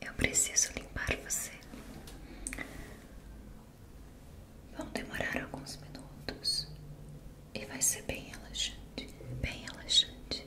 Eu preciso limpar você. Vão demorar alguns minutos e vai ser bem relaxante, bem relaxante.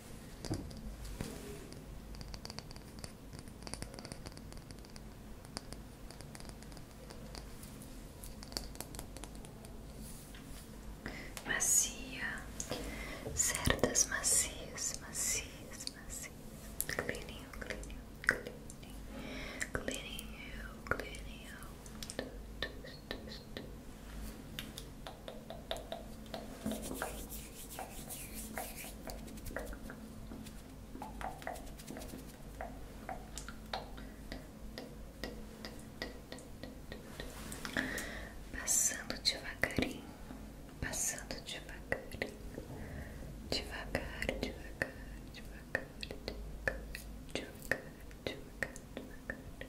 Macia, cerdas macias, macias, macias. Cleaninho, cleaninho, cleaninho, cleaninho, cleaninho. Passando devagarinho, passando devagarinho, devagar, devagar, devagar, devagar, devagar, devagar, devagar,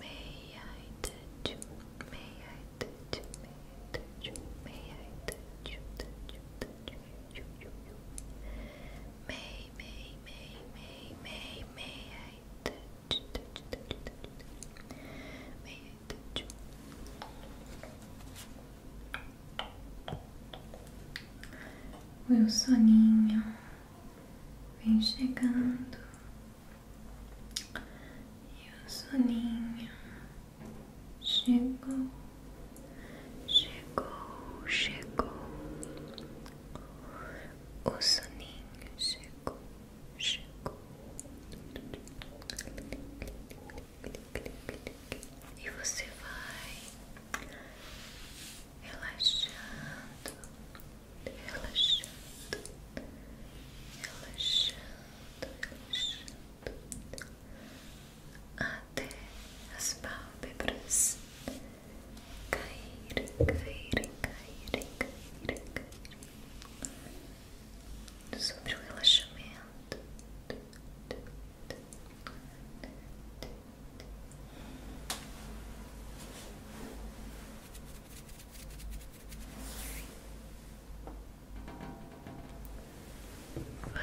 May I touch you? May I touch you? May I touch you? May I touch you? Touch you? Touch you? You? You? May, may, may, may, may, may I touch? Touch? Touch? Touch? May I touch you? Meu soninho vem chegando. E o soninho chegou, chegou, chegou. O soninho chegou, chegou. E você vai relaxando, relaxando, relaxando, relaxando até as pálpebras caírem, caírem, caírem, caírem, caírem sobre o relaxamento.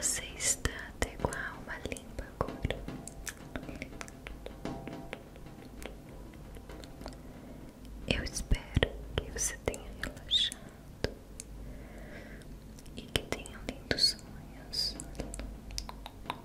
Você está até com a alma limpa agora. Eu espero que você tenha relaxado e que tenha lindos sonhos.